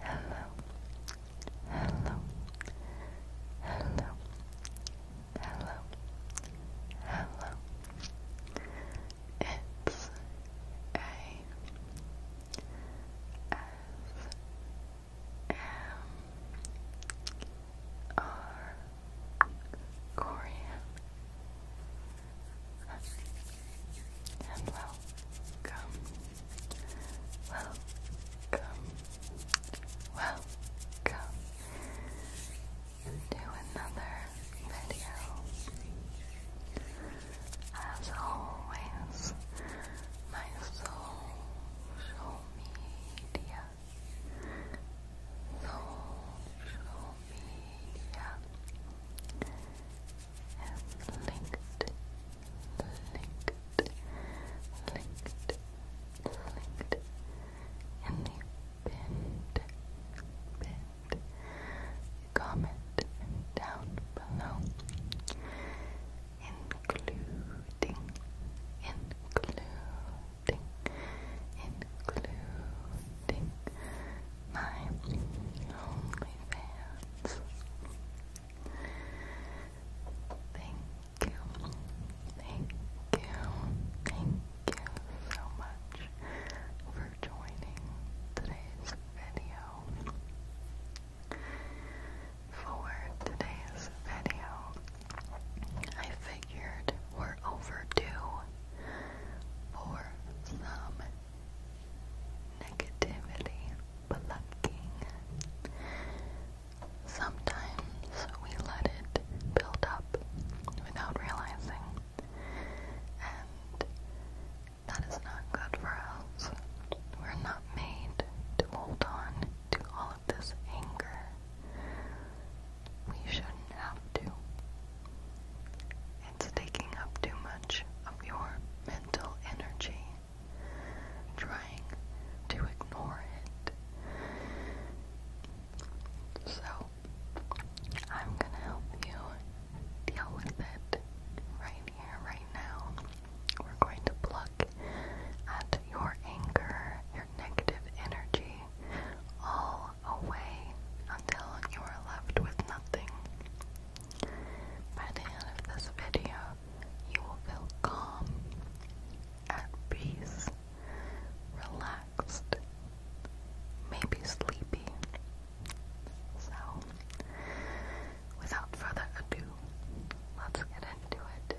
Hello, hello, hello, hello, hello. It's a S M R Korean and welcome, welcome, welcome to another video. As always, my social media, social media and linked, linked, linked, linked, and pinned, pinned comment down below, including, including, including my OnlyFans. Thank you, thank you, thank you so much for joining today's video. For today's video, I figured we're overdue for some negativity plucking. Sometimes we let it build up without realizing, and that is not good for us. We're not made to hold on to all of this anger. We shouldn't have to. It's taking up too much of your mental energy. Trying to ignore it. So, I'm gonna help you deal with it right here, right now. We're going to pluck at your anger, your negative energy, all away until you are left with nothing. By the end of this video, you will feel calm, at peace, relaxed, maybe sleepy. So, without further ado, let's get into it.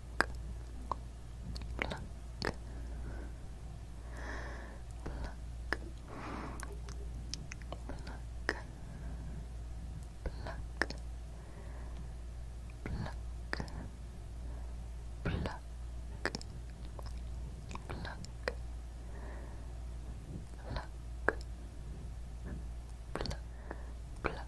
Black. pluck, pluck, pluck, pluck, pluck. Pluck, pluck, pluck, pluck, pluck,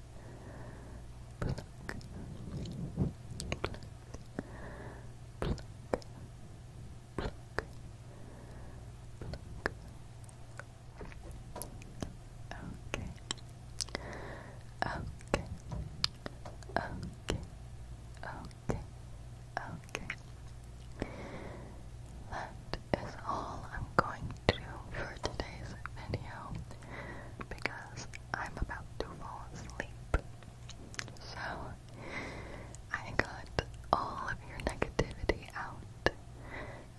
Okay. Okay. Okay. Okay. Okay. That is all I'm going to do for today's video because I'm about to fall asleep. So, I got all of your negativity out.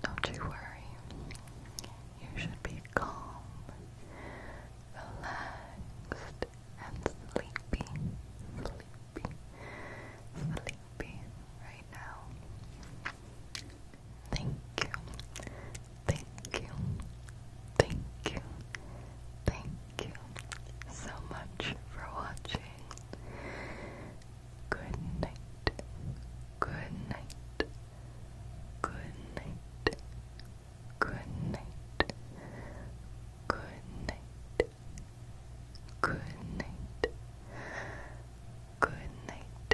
Don't you worry. You should be calm, relaxed, and sleepy. Sleepy. Sleepy right now. Thank you. Thank you. Thank you. Thank you so much for watching. Good night. Good night. Good night. Good night. Good night. Good night. Good night.